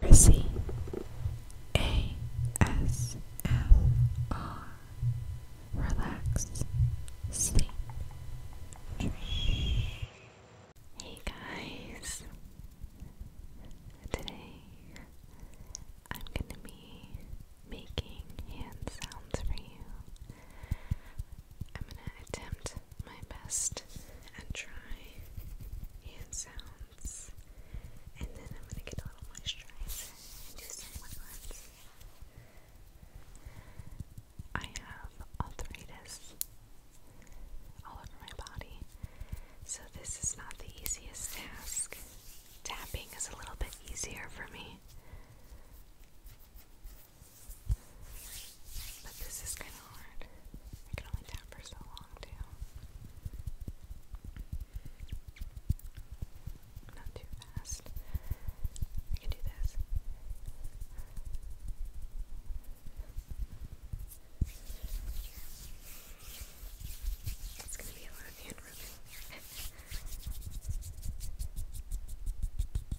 Mercy Relax Sleep Hey guys Today I'm gonna be making hand sounds for you. I'm gonna attempt my best and try and sounds. And then I'm gonna get a little moisturizer and do some wet ones. I have arthritis all over my body, so this is not the easiest task. Tapping is a little bit easier for me. But this is kind of hard. I can only tap for so long, too. Not too fast. I can do this. It's gonna be a lot hand rubbing.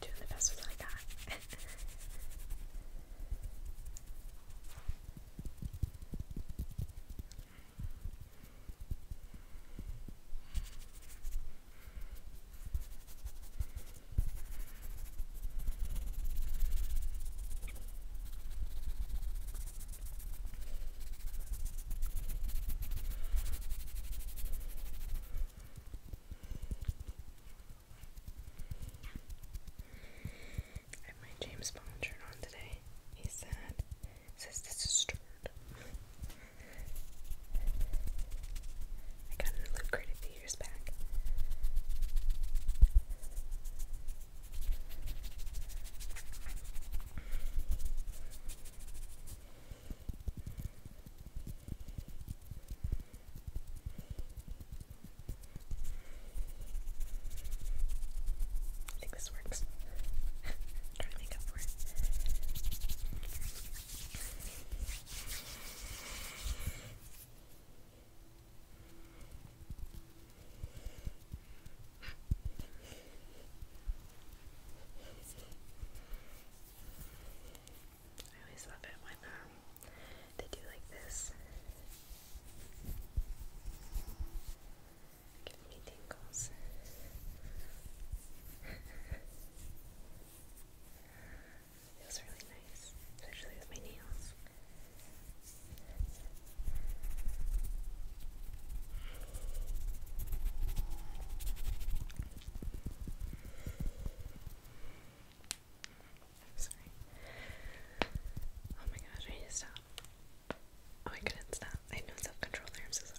Doing the best with what I got. I have my James Bond shirt on today. He's sad. this is stirred. I got a loot a few years back. I think this works. Try to make up for it. I always love it when um, they do like this. Give me tingles. Feels really nice, especially with my nails. Sorry. Oh my gosh, I need to stop. Oh, I couldn't stop. I had no self control I'm so sorry.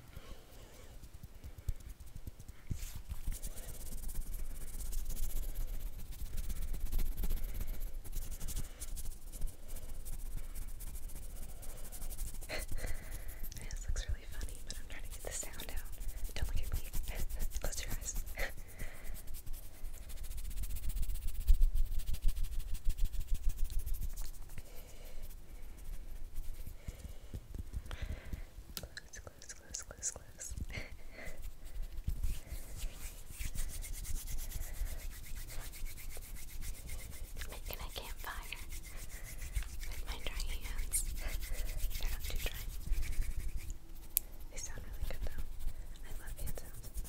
this looks really funny, but I'm trying to get the sound out. Don't look at me. Close your eyes. Close, close, close, close, close. Making a campfire with my dry hands. They're not dry. They sound really good though. I love hand sounds.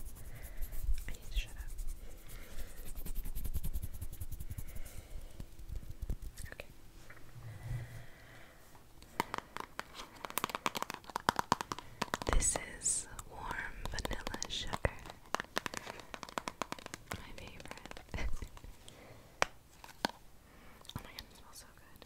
I need to shut up. This is warm vanilla sugar. My favorite. oh my god, it smells so good.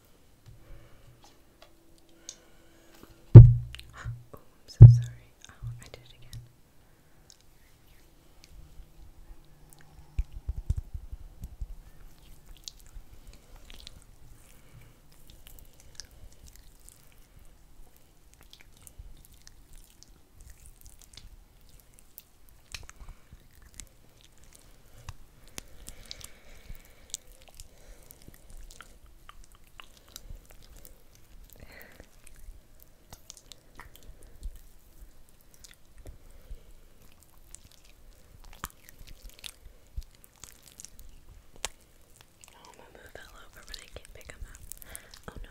oh, I'm so sorry. Oh, I did it again. Oh, my moo fell over, but I can't pick him up. Oh no.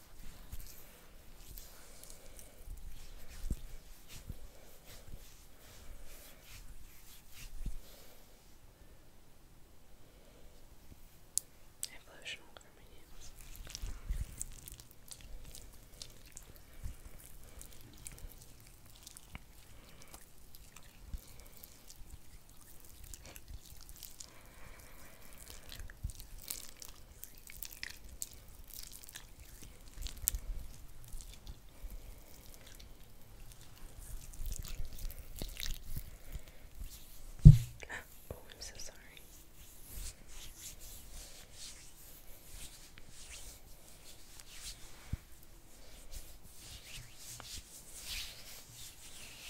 Evolutional Carminian oh, I'm so sorry.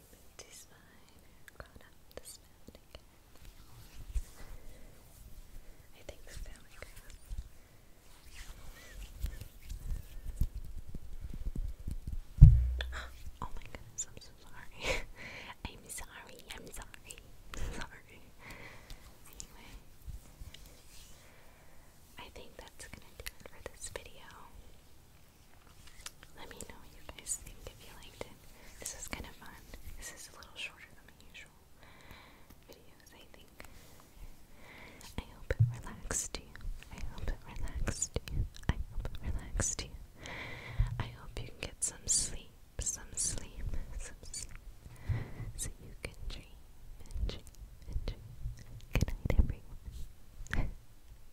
I Oh my goodness, I'm so sorry. I'm sorry, I'm sorry. Sorry. Anyway. I think that's gonna do it for this video. Let me know what you guys think if you liked it. This was kind of fun. This is a little shorter than usual videos, I think. I hope it relaxed you. I hope it relaxed you. I hope it relaxed you. I hope you can get some sleep, some sleep, some sleep, so you can dream dream dream. Good night,